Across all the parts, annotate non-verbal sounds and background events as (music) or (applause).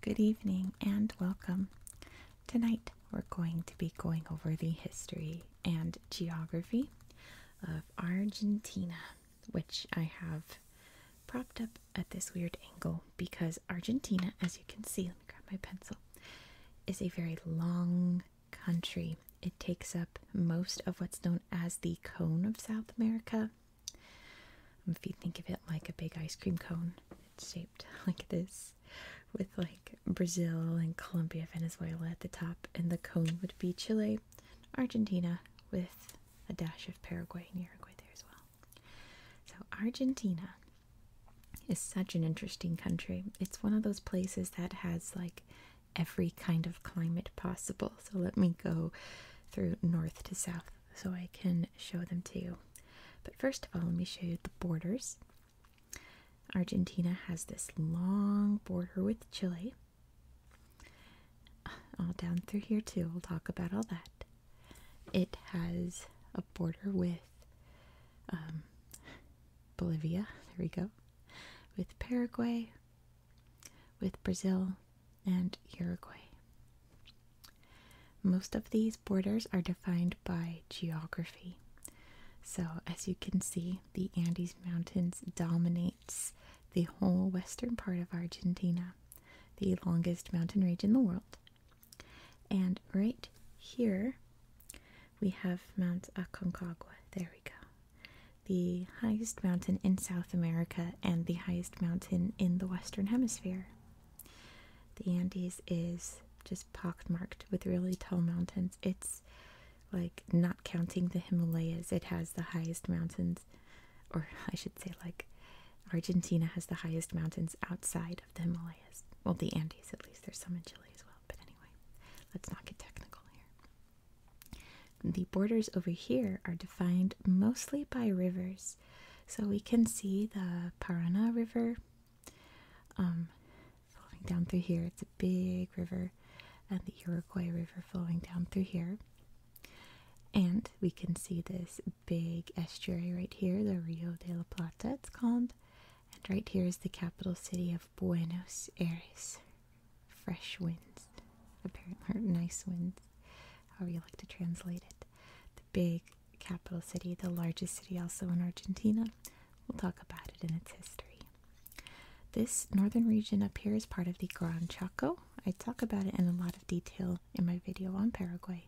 Good evening and welcome. Tonight we're going to be going over the history and geography of Argentina, which I have propped up at this weird angle because Argentina, as you can see, let me grab my pencil, is a very long country. It takes up most of what's known as the cone of South America. Um, if you think of it like a big ice cream cone, it's shaped (laughs) like this, with like Brazil and Colombia, Venezuela at the top, and the cone would be Chile, Argentina, with a dash of Paraguay and Uruguay there as well. So, Argentina is such an interesting country. It's one of those places that has like every kind of climate possible. So let me go through north to south so I can show them to you. But first of all, let me show you the borders. Argentina has this long border with Chile. (sighs) All down through here, too. We'll talk about all that. It has a border with um, Bolivia, there we go, with Paraguay, with Brazil, and Uruguay. Most of these borders are defined by geography. So, as you can see, the Andes Mountains dominates the whole western part of Argentina, the longest mountain range in the world. And right here we have Mount Aconcagua. There we go. The highest mountain in South America and the highest mountain in the Western Hemisphere. The Andes is just pockmarked with really tall mountains. It's like not counting the Himalayas, it has the highest mountains, or (laughs) I should say, like Argentina has the highest mountains outside the Himalayas. Well, the Andes, at least. There's some in Chile as well. But anyway, let's not get technical here. The borders over here are defined mostly by rivers. So we can see the Parana River um, flowing down through here. It's a big river. And the Uruguay River flowing down through here. And we can see this big estuary right here, the Rio de la Plata, it's called. And right here is the capital city of Buenos Aires. Fresh winds, apparently, nice winds, however you like to translate it. The big capital city, the largest city also in Argentina. We'll talk about it in its history. This northern region up here is part of the Gran Chaco. I talk about it in a lot of detail in my video on Paraguay,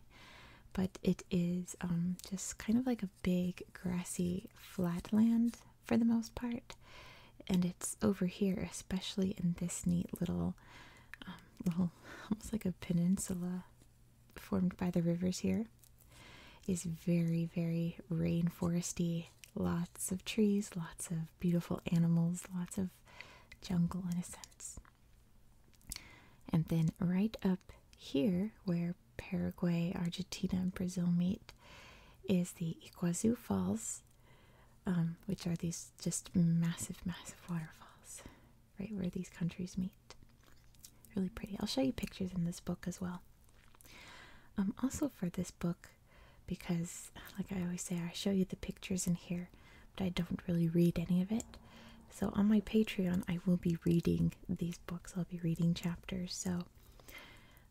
but it is um, just kind of like a big grassy flatland for the most part, and it's over here, especially in this neat little, um, little (laughs) almost like a peninsula formed by the rivers here. Is very very rainforesty. Lots of trees, lots of beautiful animals, lots of jungle in a sense. And then right up here where Paraguay, Argentina, and Brazil meet is the Iguazu Falls, um, which are these just massive, massive waterfalls right where these countries meet. Really pretty. I'll show you pictures in this book as well. Um, also, for this book, because like I always say, I show you the pictures in here, but I don't really read any of it. So, on my Patreon, I will be reading these books, I'll be reading chapters. So,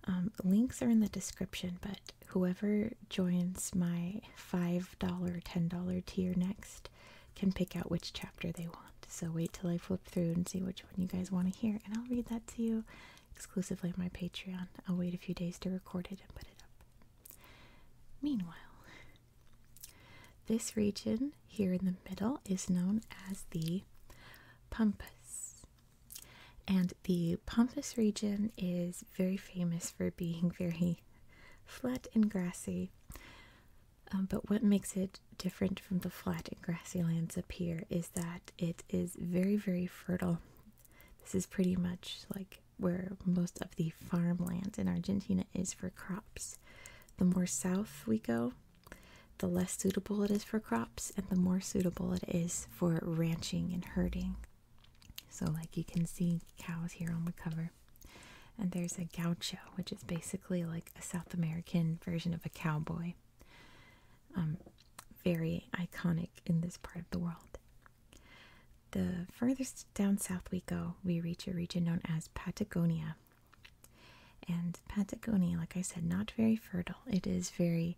um, links are in the description, but whoever joins my $5, $10 tier next can pick out which chapter they want. So, wait till I flip through and see which one you guys want to hear, and I'll read that to you exclusively on my Patreon. I'll wait a few days to record it and put it up. Meanwhile, this region here in the middle is known as the Pampas. And the Pampas region is very famous for being (laughs) very flat and grassy. Um, but what makes it different from the flat and grassy lands up here is that it is very, very fertile. This is pretty much like where most of the farmland in Argentina is for crops. The more south we go, the less suitable it is for crops, and the more suitable it is for ranching and herding. So, like you can see cows here on the cover. And there's a gaucho, which is basically like a South American version of a cowboy. Um, very iconic in this part of the world. The furthest down south we go, we reach a region known as Patagonia, and Patagonia, like I said, not very fertile. It is very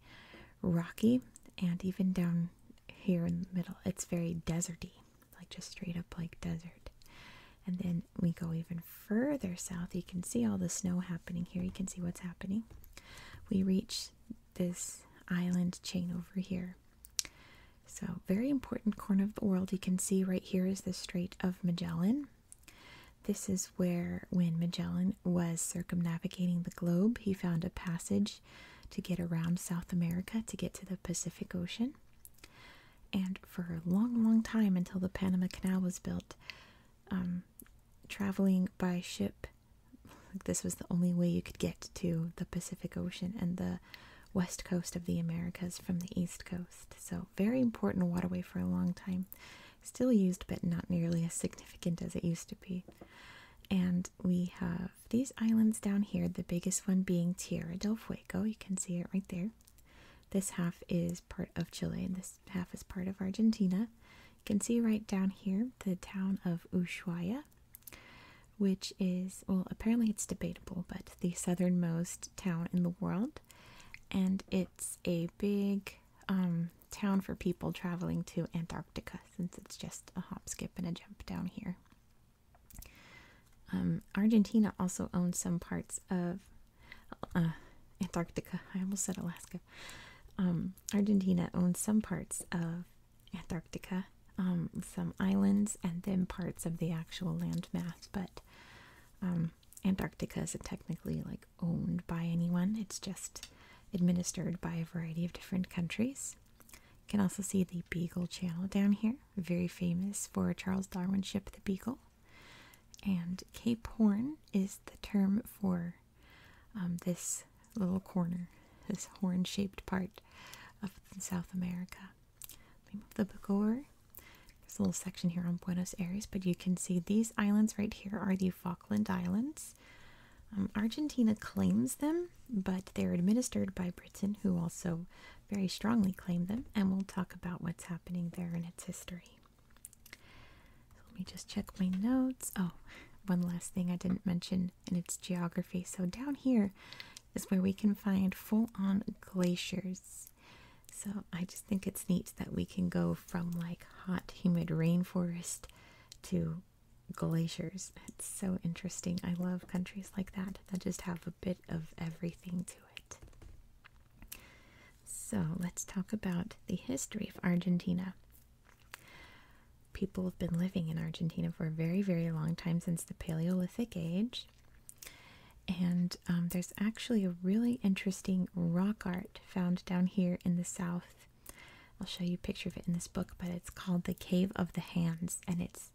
rocky, and even down here in the middle, it's very deserty, like just straight up like desert. And then we go even further south. You can see all the snow happening here. You can see what's happening. We reach this island chain over here. So, very important corner of the world. You can see right here is the Strait of Magellan. This is where, when Magellan was circumnavigating the globe, he found a passage to get around South America to get to the Pacific Ocean. And for a long, long time until the Panama Canal was built, um, traveling by ship, this was the only way you could get to the Pacific Ocean and the west coast of the Americas from the east coast. So, very important waterway for a long time. Still used, but not nearly as significant as it used to be. And we have these islands down here, the biggest one being Tierra del Fuego. You can see it right there. This half is part of Chile, and this half is part of Argentina. You can see right down here the town of Ushuaia, which is, well, apparently it's debatable, but the southernmost town in the world and it's a big um, town for people traveling to Antarctica since it's just a hop, skip, and a jump down here. Um, Argentina also owns some parts of uh, Antarctica. I almost said Alaska. Um, Argentina owns some parts of Antarctica, some islands, and then parts of the actual landmass. But Antarctica isn't technically like owned by anyone. It's just administered by a variety of different countries. You can also see the Beagle Channel down here, very famous for Charles Darwin's ship, the Beagle. And Cape Horn is the term for um, this little corner, (laughs) this horn-shaped part of South America move the book over. There's a little section here on Buenos Aires, but you can see these islands right here are the Falkland Islands. Um, Argentina claims them, but they're administered by Britain, who also very strongly claim them, and we'll talk about what's happening there in its history. let me just check my notes. Oh, one last thing I didn't mention, in it's geography. So down here is where we can find full on glaciers. So I just think it's neat that we can go from like hot, humid rainforest to glaciers. It's so interesting. I love countries like that that just have a bit of everything to it. So let's talk about the history of Argentina. People have been living in Argentina for a very, very long time since the Paleolithic Age. And um, there's actually a really interesting rock art found down here in the south. I'll show you a picture of it in this book, but it's called The Cave of the Hands, and it's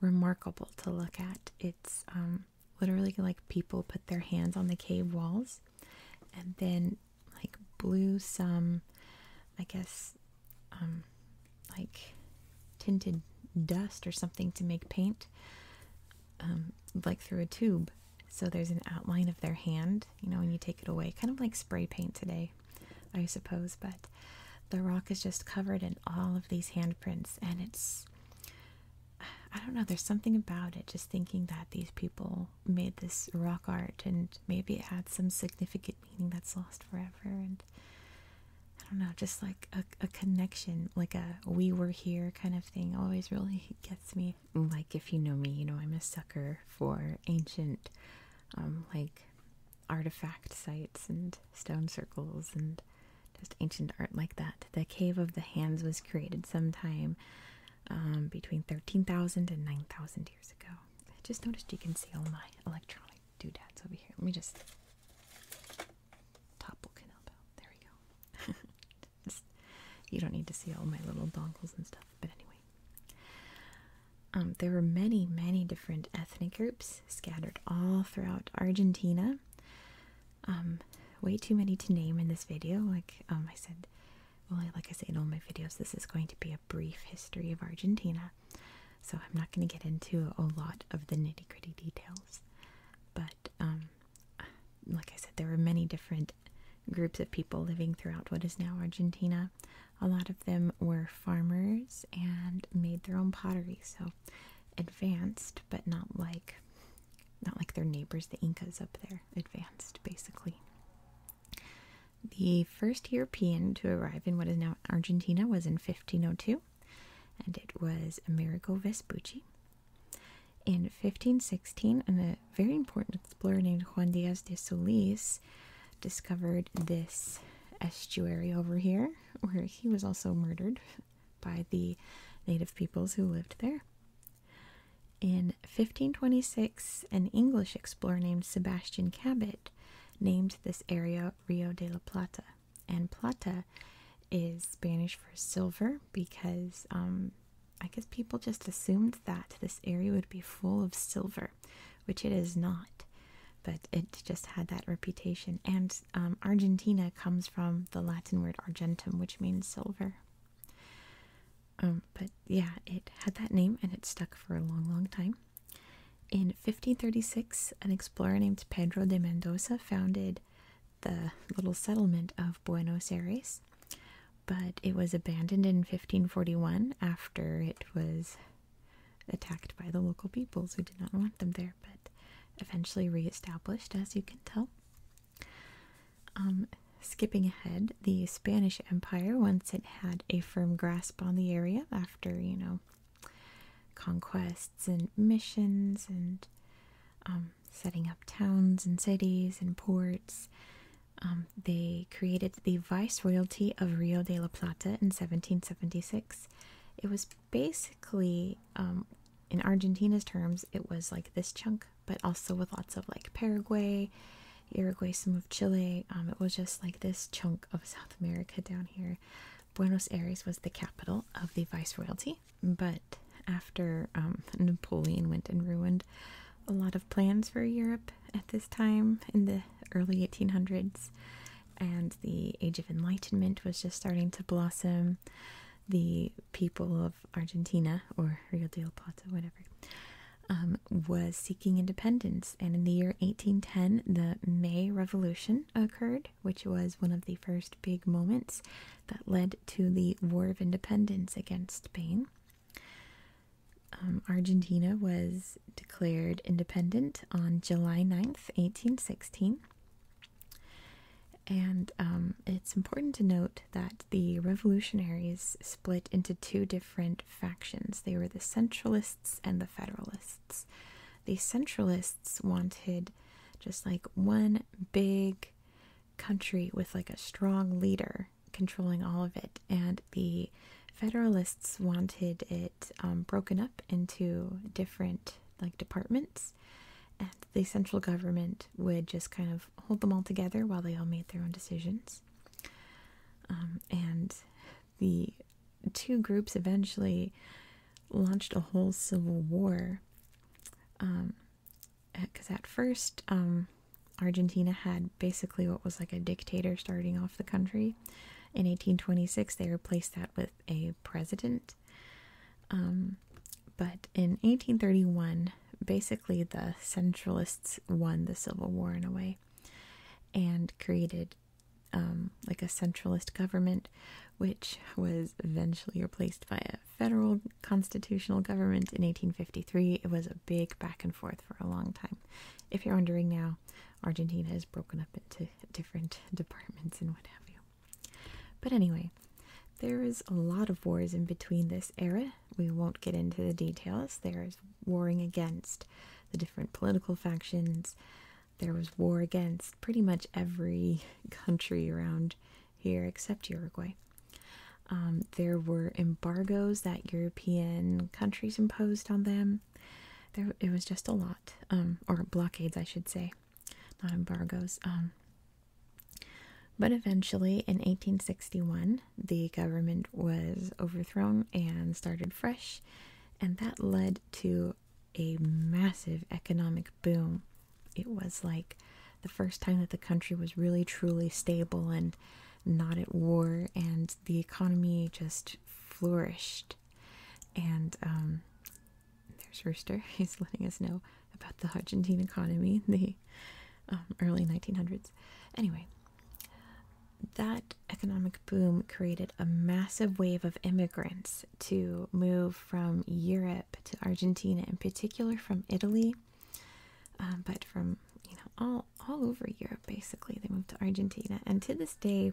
remarkable to look at. It's um, literally like people put their hands on the cave walls and then like blew some, I guess, um, like tinted dust or something to make paint um, like through a tube. So there's an outline of their hand, you know, when you take it away, kind of like spray paint today, I suppose. But the rock is just covered in all of these handprints, and it's I don't know, there's something about it just thinking that these people made this rock art and maybe it had some significant meaning that's lost forever I don't know, just like a, connection, like a we were here kind of thing always really gets me. Like, if you know me, you know, I'm a sucker for ancient, um, like artifact sites and stone circles and just ancient art like that. The Cave of the Hands was created sometime um, between 13,000 and 9,000 years ago. I just noticed you can see all my electronic doodads over here. Let me just Topple There we go. (laughs) you don't need to see all my little dongles and stuff, but anyway. Um, there were many, many different ethnic groups scattered all throughout Argentina. Um, way too many to name in this video. Like um, I said, like I say in all my videos, this is going to be a brief history of Argentina. So I'm not going to get into a lot of the nitty gritty details. But um, like I said, there were many different groups of people living throughout what is now Argentina. A lot of them were farmers and made their own pottery, so advanced, but not like not like their neighbors, the Incas up there, advanced basically. The first European to arrive in what is now Argentina was in 1502 and it was Amerigo Vespucci. In 1516, a very important explorer named Juan Diaz de Solis discovered this estuary over here, where he was also murdered (laughs) by the native peoples who lived there. In 1526, an English explorer named Sebastian Cabot named this area Rio de la Plata and plata is Spanish for silver because um, I guess people just assumed that this area would be full of silver, which it is not. But it just had that reputation. And um, Argentina comes from the Latin word argentum, which means silver. Um, but yeah, it had that name and it stuck for a long, long time. In 1536, an explorer named Pedro de Mendoza founded the little settlement of Buenos Aires, but it was abandoned in 1541 after it was attacked by the local peoples who did not want them there, but eventually re-established, as you can tell. Um, skipping ahead, the Spanish Empire, once it had a firm grasp on the area after, you know, conquests and missions and um, setting up towns and cities and ports. Um, they created the Viceroyalty of Rio de la Plata in 1776. It was basically, um, in Argentina's terms, it was like this chunk, but also with lots of like Paraguay, Uruguay, some of Chile. it was just like this chunk of South America down here Buenos Aires was the capital of the viceroyalty, but after um, (laughs) Napoleon went and ruined a lot of plans for Europe at this time in the early 1800s, and the Age of Enlightenment was just starting to blossom, the people of Argentina or Rio de la Plata, whatever. Um, was seeking independence, and in the year 1810, the May Revolution occurred, which was one of the first big moments that led to the War of Independence against Spain. Um, Argentina was declared independent on July 9th, 1816. And um, it's important to note that the revolutionaries split into two different factions. They were the centralists and the federalists the centralists wanted just like one big country with like a strong leader controlling all of it, and the Federalists wanted it um, broken up into different like departments, and the central government would just kind of hold them all together while they all made their own decisions. Um, and the two groups eventually launched a whole civil war. Because um, at first, um, Argentina had basically what was like a dictator starting off the country. In 1826, they replaced that with a president. Um, but in 1831, basically the centralists won the civil war in a way and created um, like a centralist government, which was eventually replaced by a federal constitutional government in 1853. It was a big back and forth for a long time. If you're wondering now, Argentina is broken up into different (laughs) departments and what have you. But anyway, there is a lot of wars in between this era. We won't get into the details. There is warring against the different political factions there was war against pretty much every (laughs) country around here except Uruguay. Um, there were embargoes that European countries imposed on them. There, it was just a lot, um, or blockades, I should say, not embargoes. Um, but eventually, in 1861, the government was overthrown and started fresh, and that led to a massive economic boom. It was like the first time that the country was really truly stable and not at war, and the economy just flourished. And um, there's Rooster, (laughs) he's letting us know about the Argentine economy in (laughs) the um, early 1900s. Anyway, that economic boom created a massive wave of immigrants to move from Europe to Argentina, in particular from Italy, um, but from you know all all over Europe. Basically, they moved to Argentina, and to this day,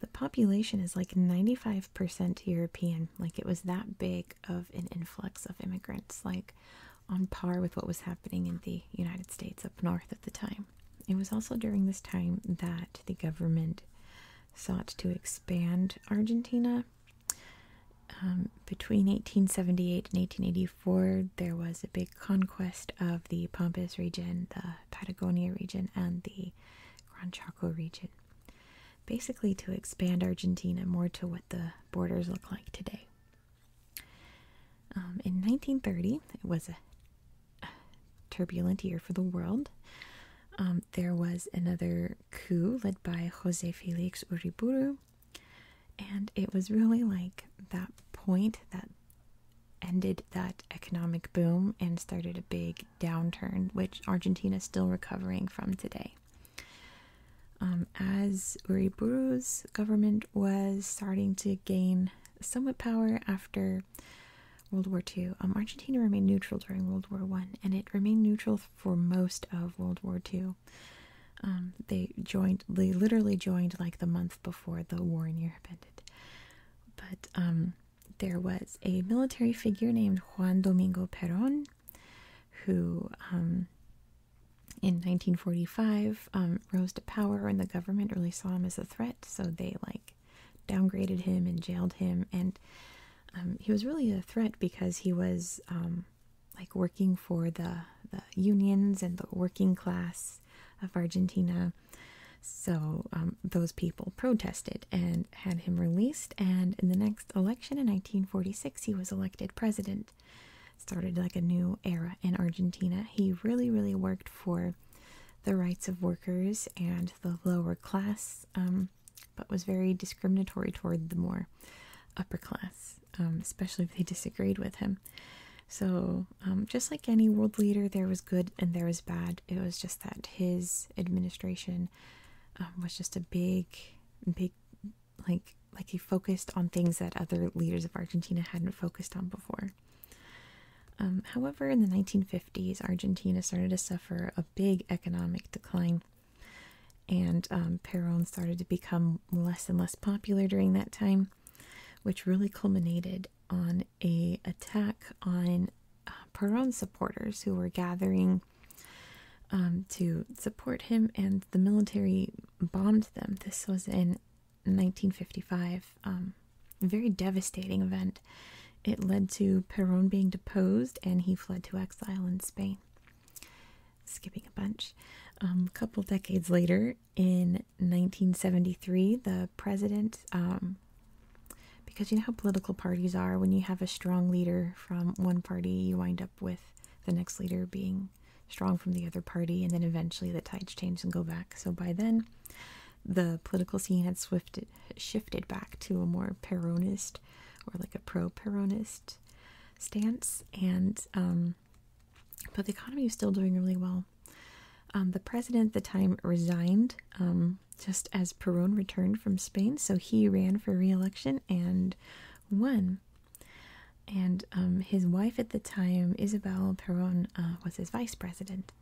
the population is like ninety five percent European. Like it was that big of an influx of immigrants, like on par with what was happening in the United States up north at the time. It was also during this time that the government sought to expand Argentina. Um, between 1878 and 1884, there was a big conquest of the Pampas region, the Patagonia region, and the Gran Chaco region, basically to expand Argentina more to what the borders look like today. Um, in 1930, it was a turbulent year for the world. Um, um, there was another coup led by Jose Felix Uriburu, and it was really like that point that ended that economic boom and started a big downturn, which Argentina is still recovering from today. Um, as Uriburu's government was starting to gain somewhat power after World War II. Um, Argentina remained neutral during World War One, and it remained neutral for most of World War II. Um, they joined, they literally joined like the month before the war in Europe ended. But um, there was a military figure named Juan Domingo Perón, who in 1945 rose to power, and the government really saw him as a threat, so they like downgraded him and jailed him and um, he was really a threat because he was um, like working for the, the unions and the working class of Argentina. So um, those people protested and had him released. And in the next election in 1946, he was elected president. Started like a new era in Argentina. He really, really worked for the rights of workers and the lower class um, but was very discriminatory toward the more upper class, um, especially if they disagreed with him. So, um, just like any world leader, there was good and there was bad. It was just that his administration was just a big, big, like, like he focused on things that other leaders of Argentina hadn't focused on before. Um, however, in the 1950s, Argentina started to suffer a big economic decline, and um, Perón started to become less and less popular during that time, which really culminated on a attack on uh, Peron's supporters who were gathering um, to support him, and the military bombed them. This was in 1955 very devastating event. It led to Perón being deposed and he fled to exile in Spain. Skipping a bunch. Um, a couple decades later, in 1973, the president, um, because you know how political parties are, when you have a strong leader from one party, you wind up with the next leader being strong from the other party, and then eventually the tides change and go back. So by then, the political scene had shifted shifted back to a more peronist or like a pro-peronist stance and um but the economy was still doing really well um the president at the time resigned um just as Perón returned from Spain so he ran for re-election and won and um his wife at the time Isabel Perón uh, was his vice president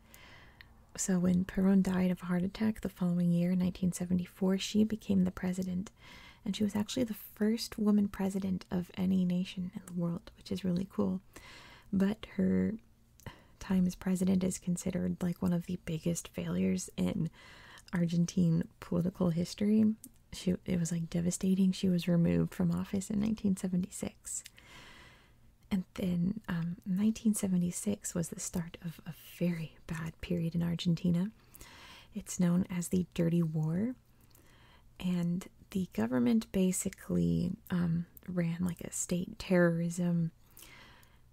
so, when Perón died of a heart attack the following year, 1974, she became the president. And she was actually the first woman president of any nation in the world, which is really cool. But her time as president is considered like one of the biggest failures in Argentine political history. She, it was like devastating. She was removed from office in 1976. And then 1976 um, was the start of a very bad period in Argentina. It's known as the Dirty War. And the government basically um, ran like a state terrorism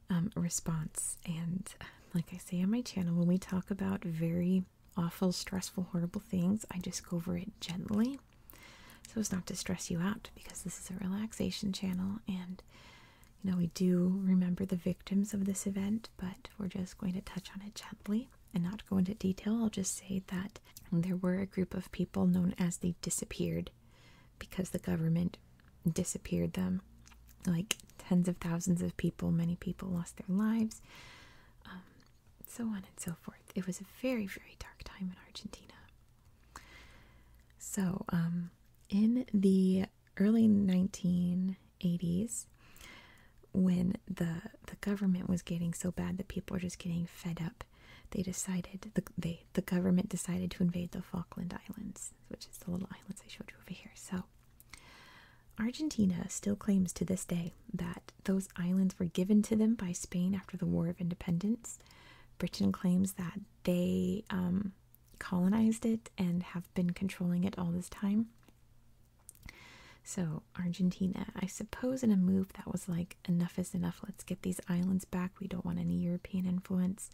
um, response. And like I say on my channel, when we talk about very awful, stressful, horrible things, I just go over it gently so as not to stress you out because this is a relaxation channel and you know, we do remember the victims of this event, but we're just going to touch on it gently and not go into detail. I'll just say that there were a group of people known as the disappeared because the government disappeared them. Like tens of thousands of people, many people lost their lives, um, so on and so forth. It was a very, very dark time in Argentina. So, um, in the early 1980s, when the the government was getting so bad that people were just getting fed up, they decided the the government decided to invade the Falkland Islands, which is the little islands I showed you over here. So. Argentina still claims to this day that those islands were given to them by Spain after the War of Independence. Britain claims that they um, colonized it and have been controlling it all this time. So, Argentina, I suppose, in a move that was like, enough is enough, let's get these islands back, we don't want any European influence,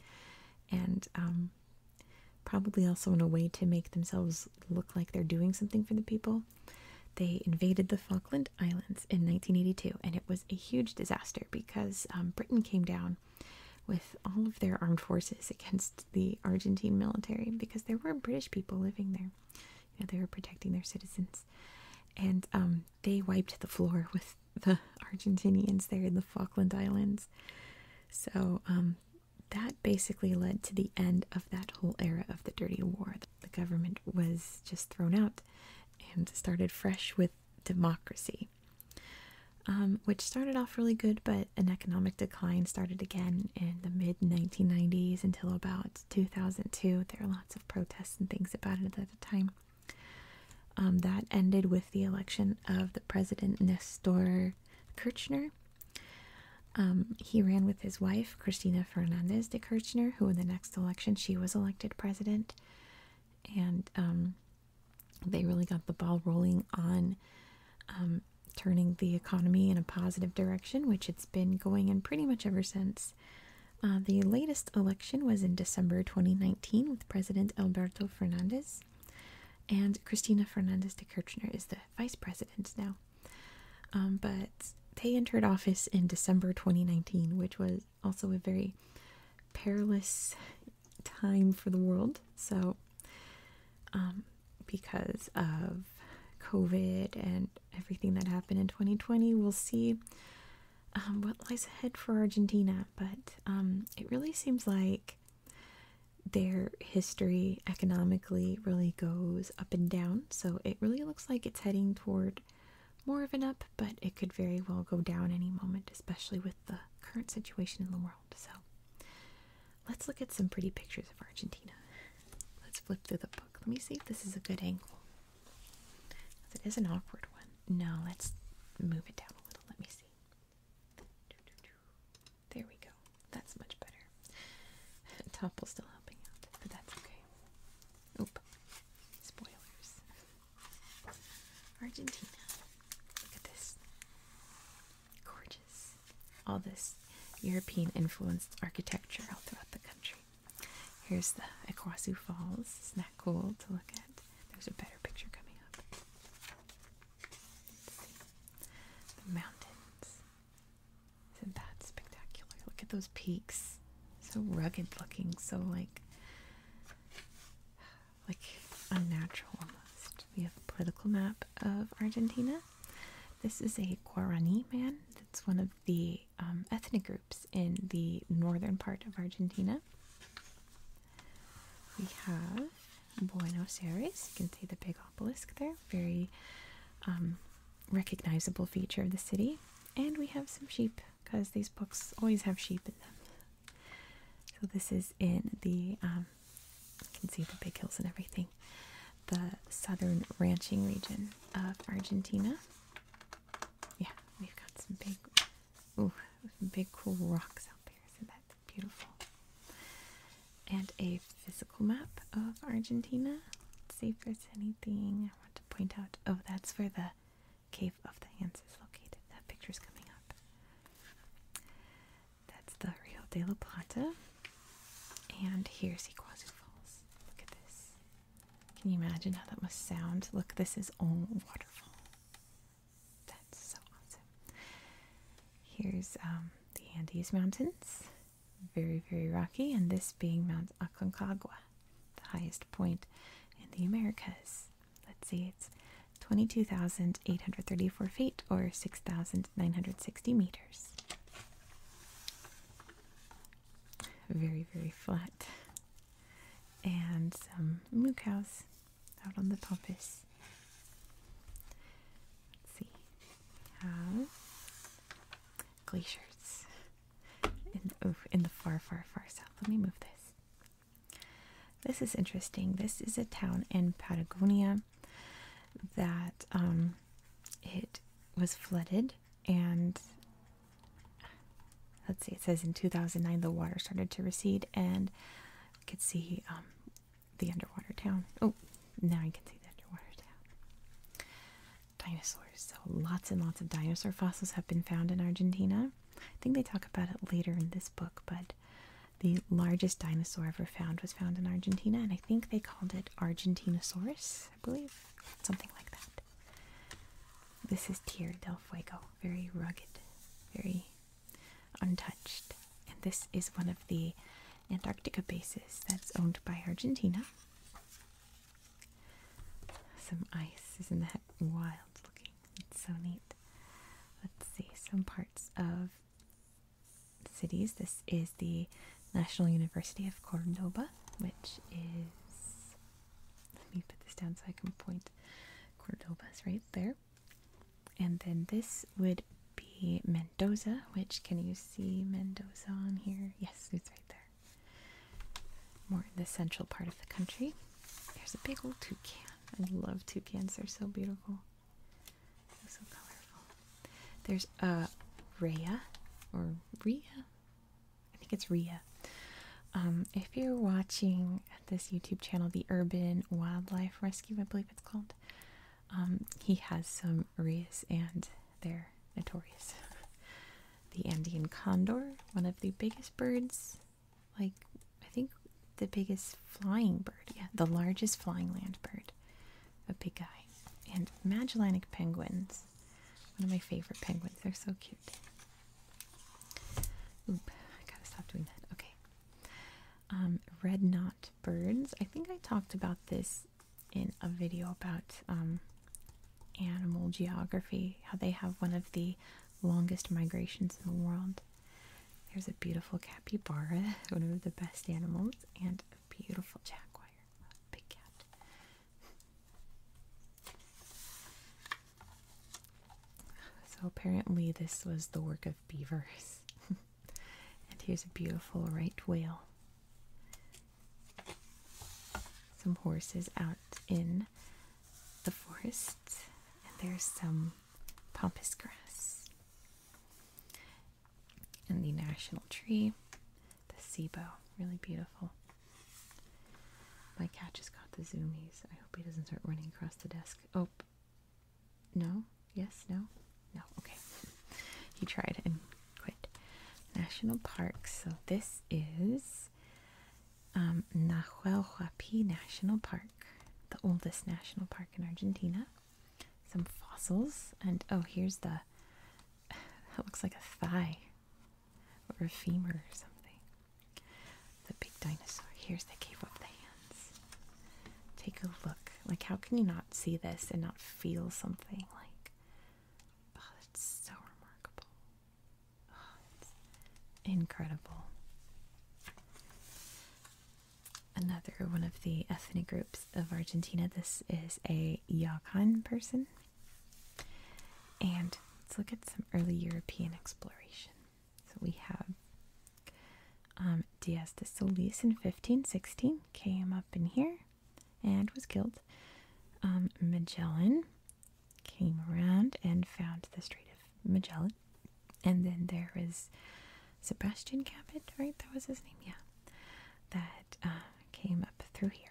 and um, probably also in a way to make themselves look like they're doing something for the people. They invaded the Falkland Islands in 1982, and it was a huge disaster because um, Britain came down with all of their armed forces against the Argentine military because there were British people living there. they were protecting their citizens. And um, they wiped the floor with (laughs) the Argentinians there in the Falkland Islands. So um, that basically led to the end of that whole era of the Dirty War. The government was just thrown out and started fresh with democracy, um, which started off really good, but an economic decline started again in the mid 1990s until about 2002. There were lots of protests and things about it at the time. Um, that ended with the election of the president Nestor Kirchner. Um, he ran with his wife, Cristina Fernandez de Kirchner, who in the next election she was elected president. And they really got the ball rolling on um, turning the economy in a positive direction, which it's been going in pretty much ever since. Uh, the latest election was in December 2019 with President Alberto Fernandez, and Cristina Fernandez de Kirchner is the vice president now. Um, but they entered office in December 2019, which was also a very perilous time for the world. So, um, because of COVID and everything that happened in 2020, we'll see um, what lies ahead for Argentina. But um, it really seems like their history economically really goes up and down. So it really looks like it's heading toward more of an up, but it could very well go down any moment, especially with the current situation in the world. So let's look at some pretty pictures of Argentina. Let's flip through the book. Let me see if this is a good angle. It is an awkward one. No, let's move it down a little. Let me see. There we go. That's much better. (laughs) Topple's still helping out, but that's okay. Oop. Spoilers. (laughs) Argentina. Look at this. Gorgeous. All this European influenced architecture all throughout the country. Here's the Iguazu Falls. Isn't that cool to look at? There's a better picture coming up. The mountains. Isn't that spectacular? Look at those peaks. So rugged looking, so like like unnatural almost. We have a political map of Argentina. This is a Guarani man. That's one of the um, ethnic groups in the northern part of Argentina. We have Buenos Aires. You can see the big obelisk there. Very um, recognizable feature of the city. And we have some sheep because these books always have sheep in them. So this is in the um, you can see the big hills and everything. The southern ranching region of Argentina. Yeah, we've got some big, ooh, some big cool rocks out there. Isn't that beautiful? And a physical map of Argentina. see if there's anything I want to point out. Oh, that's for the Cave of the Hands is located. That picture is coming up. That's the Rio de la Plata. And here's Iguazu Falls. Look at this. Can you imagine how that must sound? Look, this is all waterfall. That's so awesome. Here's um, the Andes Mountains. Very, very rocky. And this being Mount Aconcagua, the highest point in the Americas let's see, it's 22,834 feet or 6,960 meters. Very, very flat. And some moo cows out on the pampas. Let's see, we glaciers in the far, far, far south. Let me move this. This is interesting. This is a town in Patagonia that um, it was flooded, and let's see, it says in 2009 the water started to recede, and you could see um, the underwater town. Oh, now you can see the underwater town. Dinosaurs. So lots and lots of dinosaur fossils have been found in Argentina. I think they talk about it later in this book, but the largest dinosaur ever found was found in Argentina, and I think they called it Argentinosaurus, I believe, something like that. This is Tierra del Fuego, very rugged, very untouched. And this is one of the Antarctica bases that's owned by Argentina. Some ice, isn't that wild looking? It's so neat. Let's see some parts of cities. This is the National University of Cordoba, which is. Let me put this down so I can point. Cordoba's right there. And then this would be Mendoza, which can you see Mendoza on here? Yes, it's right there more in the central part of the country. There's a big old toucan. I love toucans, they're so beautiful. So colorful. There's a Rhea or Rhea. I think it's Rhea. Um, if you're watching this YouTube channel, the Urban Wildlife Rescue, I believe it's called, um, he has some Rheas and they're notorious. (laughs) the Andean condor, one of the biggest birds like I think the biggest flying bird, yeah, the largest flying land bird, a big guy, and Magellanic penguins, one of my favorite penguins. They're so cute. Oop, gotta stop doing that. Okay. Um, red knot birds. I think I talked about this in a video about um, animal geography, how they have one of the longest migrations in the world. There's a beautiful capybara, (laughs) one of the best animals, and a beautiful jaguar, a big cat. So apparently this was the work of beavers. (laughs) and here's a beautiful right whale. Some horses out in the forest, and there's some pampas grass. And the national tree, the ceibo, really beautiful. My cat just got the zoomies. I hope he doesn't start running across the desk. Oh, no? Yes? No? No. Okay. He tried and quit. National parks. So this is um, Nahuelhuapi National Park, the oldest national park in Argentina. Some fossils, and oh, here's the (sighs) that looks like a thigh or a femur or something. The big dinosaur. Here's the cave of the hands. Take a look. Like, how can you not see this and not feel something? Like, oh, it's so remarkable. (sighs) incredible. Another one of the ethnic groups of Argentina. This is a Yakan person. And let's look at some early European exploration. So we have um, Diaz de Solis in 1516 came up in here and was killed. Um, Magellan came around and found the Strait of Magellan. And then there was Sebastian Cabot, right? That was his name, yeah. That uh, came up through here.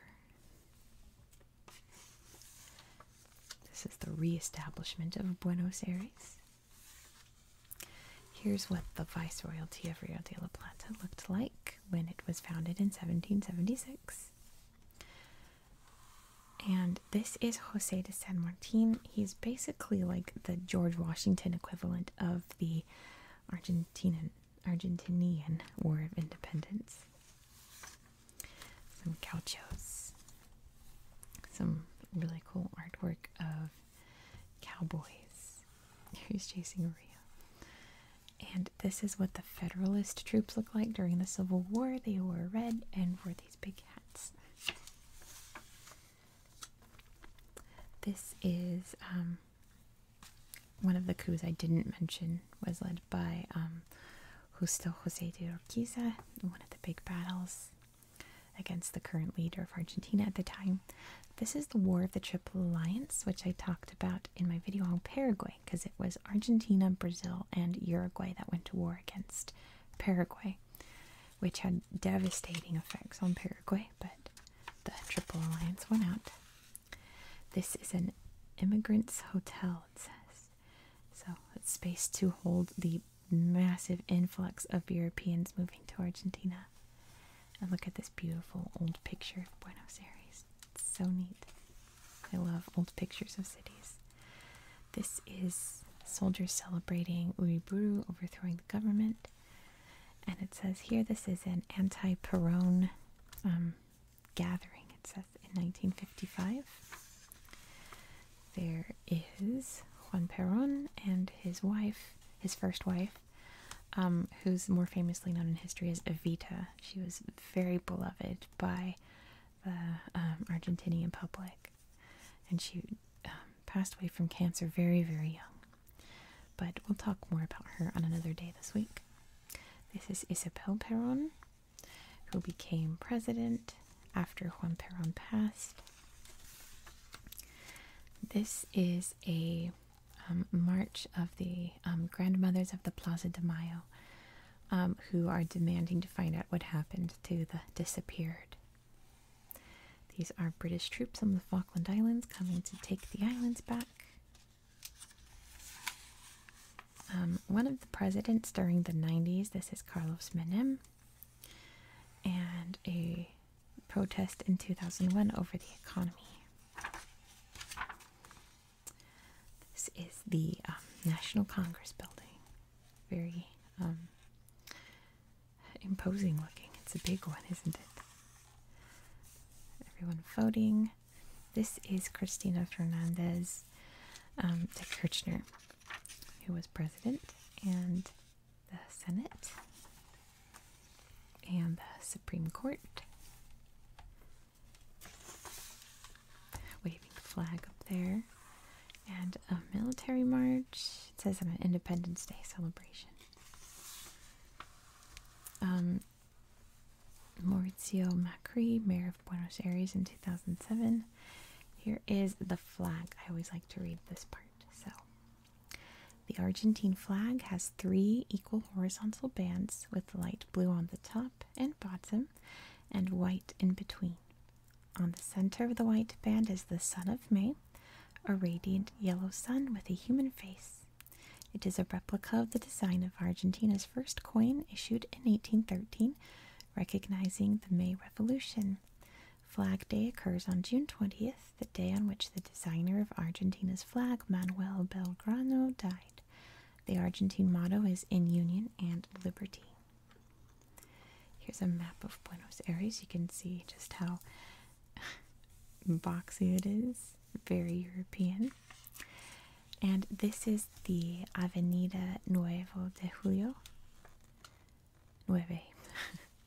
This is the re-establishment of Buenos Aires. Here's what the Viceroyalty of Rio de la Plata looked like when it was founded in 1776. And this is Jose de San Martin. He's basically like the George Washington equivalent of the Argentinian War of Independence. Some cauchos. Some really cool artwork of cowboys who's (laughs) chasing Rio. And this is what the Federalist troops looked like during the Civil War. They wore red and wore these big hats. This is um, one of the coups I didn't mention was led by um, Justo José de Urquiza, one of the big battles against the current leader of Argentina at the time. This is the War of the Triple Alliance, which I talked about in my video on Paraguay because it was Argentina, Brazil, and Uruguay that went to war against Paraguay, which had devastating effects on Paraguay, but the Triple Alliance won out. This is an immigrants' hotel, it says. So it's space to hold the massive influx of Europeans moving to Argentina. And look at this beautiful old picture of Buenos Aires so neat. I love old pictures of cities. This is soldiers celebrating Uriburu overthrowing the government. And it says here this is an anti Peron um, gathering, it says in 1955. There is Juan Perón and his wife, his first wife, um, who's more famously known in history as Evita. She was very beloved by the um, Argentinian public. And she um, passed away from cancer very, very young. But we'll talk more about her on another day this week. This is Isabel Perón, who became president after Juan Perón passed. This is a um, march of the grandmothers of the Plaza de Mayo. Um, who are demanding to find out what happened to the disappeared. These are British troops on the Falkland Islands coming to take the islands back. Um, one of the presidents during the 90s, this is Carlos Menem, and a protest in 2001 over the economy. This is the um, National Congress building. Very um, imposing looking. It's a big one, isn't it? Everyone voting. This is Cristina Fernandez um, de Kirchner, who was president, and the Senate, and the Supreme Court. Waving flag up there. And a military march. It says on an Independence Day celebration. Um, Maurizio Macri, mayor of Buenos Aires in 2007. Here is the flag. I always like to read this part. So, the Argentine flag has three equal horizontal bands with light blue on the top and bottom, and white in between. On the center of the white band is the Sun of May, a radiant yellow sun with a human face. It is a replica of the design of Argentina's first coin issued in 1813, recognizing the May Revolution. Flag Day occurs on June 20th, the day on which the designer of Argentina's flag, Manuel Belgrano, died. The Argentine motto is In Union and Liberty. Here's a map of Buenos Aires. You can see just how (laughs) boxy it is, very European. And this is the Avenida Nuevo de Julio. Nueve.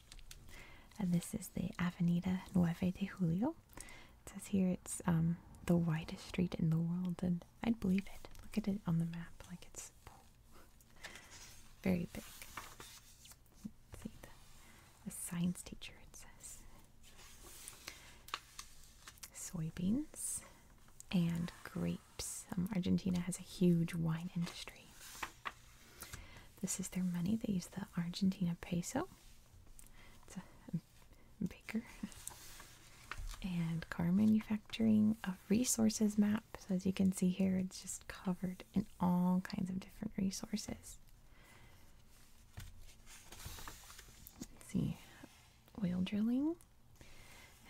(laughs) and this is the Avenida Nueve de Julio. It says here it's um, the widest street in the world, I'd believe it. Look at it on the map, like it's very big. see, the, science teacher, it says. Soybeans and grapes. Um, Argentina has a huge wine industry. This is their money. They use the Argentina peso baker and car manufacturing of resources map so as you can see here it's just covered in all kinds of different resources let's see oil drilling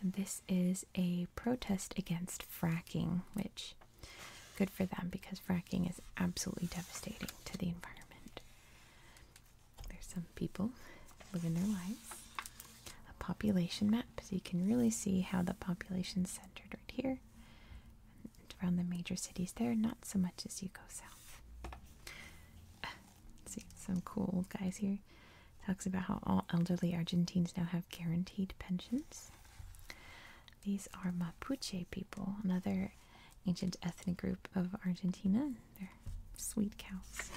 and this is a protest against fracking which good for them because fracking is absolutely devastating to the environment there's some people living their lives. A population map, so you can really see how the population's centered right here around the major cities there, not so much as you go south. (sighs) see some cool guys here. Talks about how all elderly Argentines now have guaranteed pensions. These are Mapuche people, another ancient ethnic group of Argentina sweet cows.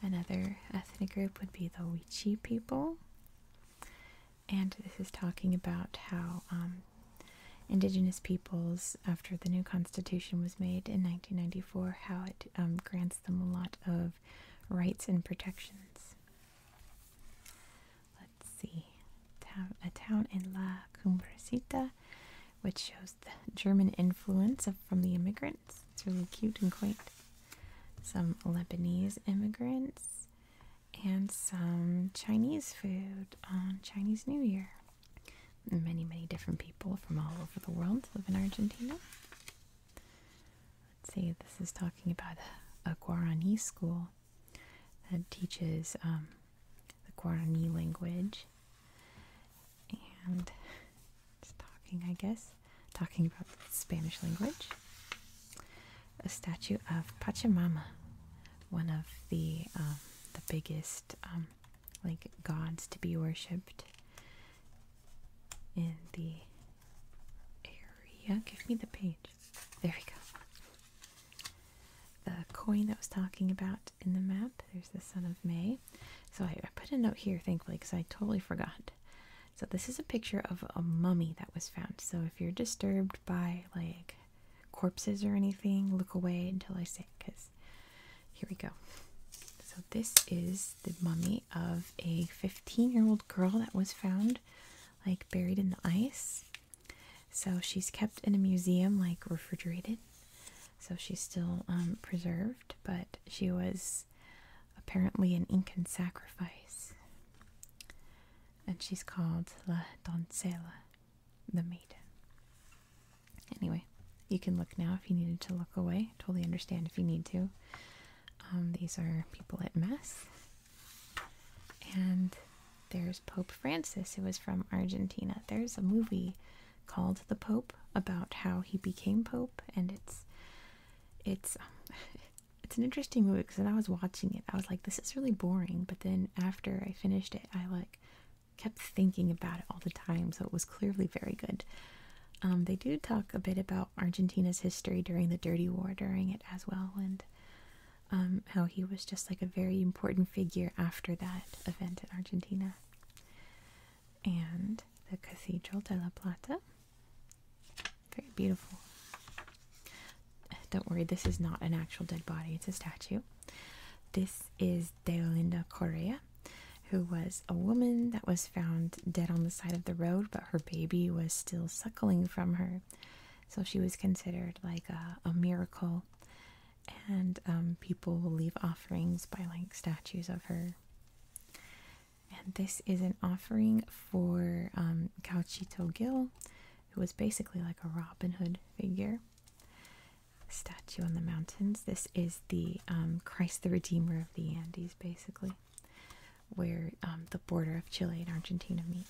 Another ethnic group would be the Wechi people. And this is talking about how um, indigenous peoples, after the new constitution was made in 1994, how it um, grants them a lot of rights and protections. Let's see. A town in La Cumbrecita which shows the German influence from the immigrants. It's really cute and quaint. Some Lebanese immigrants and some Chinese food on Chinese New Year. many, many different people from all over the world live in Argentina. Let's see, this is talking about a, Guarani school that teaches um, the Guarani language and it's talking, I guess, talking about Spanish language. A statue of Pachamama, one of the um, the biggest um, like gods to be worshipped in the area. Give me the page. There we go the coin that was talking about in the map. There's the Son of May. So I, I put a note here, thankfully, because I totally forgot. So this is a picture of a mummy that was found. So if you're disturbed by like corpses or anything, look away until I say, because here we go. So this is the mummy of a 15 year old girl that was found like buried in the ice. So she's kept in a museum, like refrigerated, so she's still um, preserved, but she was apparently an Incan sacrifice. And she's called La Doncella, the maiden. Anyway, you can look now if you needed to look away. Totally understand if you need to. Um, these are people at Mass. And there's Pope Francis, who was from Argentina. There's a movie called The Pope about how he became Pope, and it's it's (laughs) it's an interesting movie because when I was watching it, I was like, this is really boring. But then after I finished it, I like kept thinking about it all the time, so it was clearly very good. Um, they do talk a bit about Argentina's history during the Dirty War during it as well, and um, how he was just like a very important figure after that event in Argentina. And the Cathedral de la Plata. Very beautiful. Don't worry, this is not an actual dead body, it's a statue. This is Deolinda Correa, who was a woman that was found dead on the side of the road, but her baby was still suckling from her. So she was considered like a miracle and um, people will leave offerings by like statues of her. And this is an offering for um, Gil, who was basically like a Robin Hood figure. Statue on the mountains. This is the um, Christ the Redeemer of the Andes, basically, where um, the border of Chile and Argentina meet.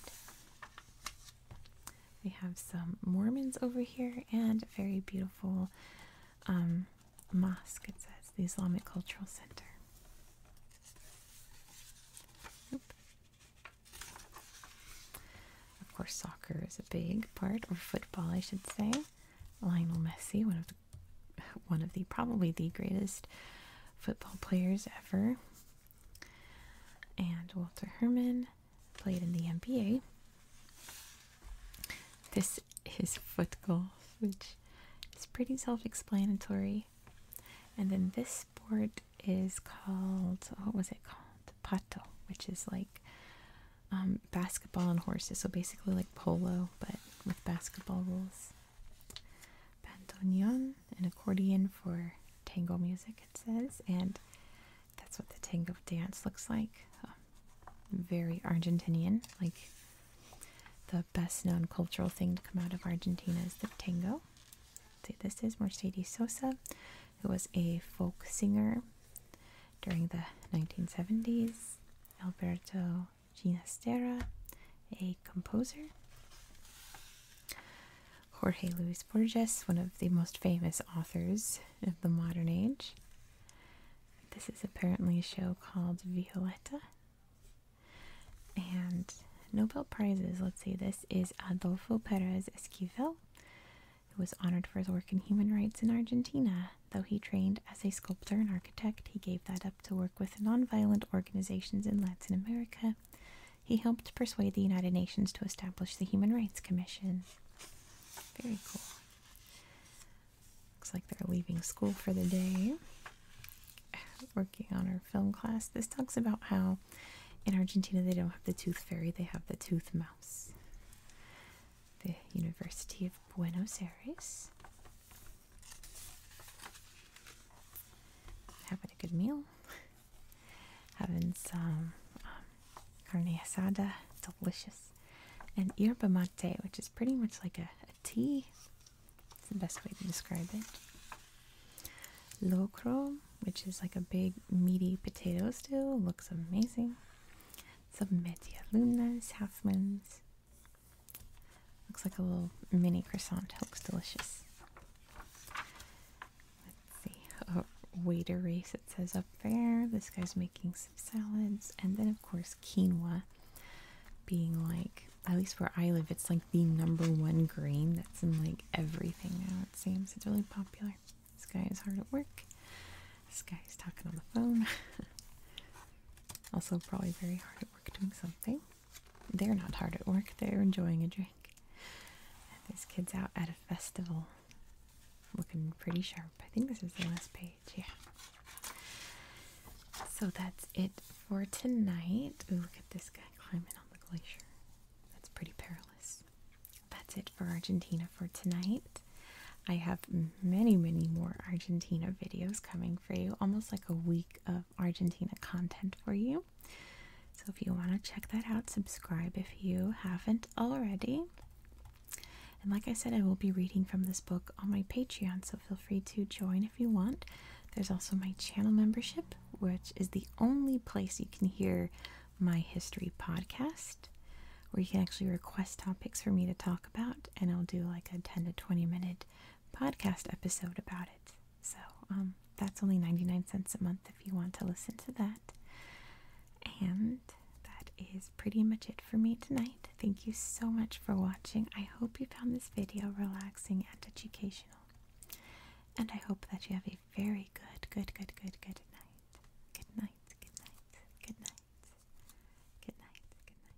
We have some Mormons over here and a very beautiful um, mosque, it says, the Islamic Cultural Center. Of course, soccer is a big part, or football, I should say. Lionel Messi, one of the (laughs) one of the probably the greatest football players ever, and Walter Herman, played in the NBA. This is foot golf, which is pretty self explanatory. And then this sport is called, what was it called? Pato, which is like um, basketball and horses. So basically like polo, but with basketball rules. Bandoneon, an accordion for tango music, it says. And that's what the tango dance looks like. Oh, very Argentinian. Like the best known cultural thing to come out of Argentina is the tango. See, this is Mercedes Sosa, who was a folk singer during the 1970s. Alberto Ginastera, a composer. Jorge Luis Borges, one of the most famous authors of the modern age. This is apparently a show called Violetta. And Nobel Prizes, let's see, this is Adolfo Perez Esquivel, who was honored for his work in human rights in Argentina. Though he trained as a sculptor and architect, he gave that up to work with nonviolent organizations in Latin America. He helped persuade the United Nations to establish the Human Rights Commission. Very cool. Looks like they're leaving school for the day. Working on our film class. This talks about how in Argentina they don't have the tooth fairy, they have the tooth mouse. The University of Buenos Aires. Having a good meal having some um, carne asada, delicious, and yerba mate, which is pretty much like a, tea. It's the best way to describe it. Locro, which is like a big meaty potato stew, looks amazing. Some medialunas, half moons. Looks like a little mini croissant, looks delicious. Let's see. waiter race, it says up there. This guy's making some salads. And then, of course, quinoa being like, at least where I live, it's like the number one grain that's in like everything now, it seems. It's really popular. This guy is hard at work. This guy is talking on the phone. (laughs) also, probably very hard at work doing something. They're not hard at work, they're enjoying a drink. These kids out at a festival. Looking pretty sharp. I think this is the last page. Yeah. So that's it for tonight. Ooh, look at this guy climbing on the glacier. That's pretty perilous. That's it for Argentina for tonight. I have many, many more Argentina videos coming for you, almost like a week of Argentina content for you. So if you want to check that out, subscribe if you haven't already. And like I said, I will be reading from this book on my Patreon, so feel free to join if you want. There's also my channel membership, which is the only place you can hear my history podcast, where you can actually request topics for me to talk about, and I'll do like a 10 to 20 minute podcast episode about it. So um, that's only 99 cents a month if you want to listen to that. And that is pretty much it for me tonight. Thank you so much for watching. I hope you found this video relaxing and educational. And I hope that you have a very good, good, good, good, good Good night, good night, good night. Good night, good night, good night. Good night.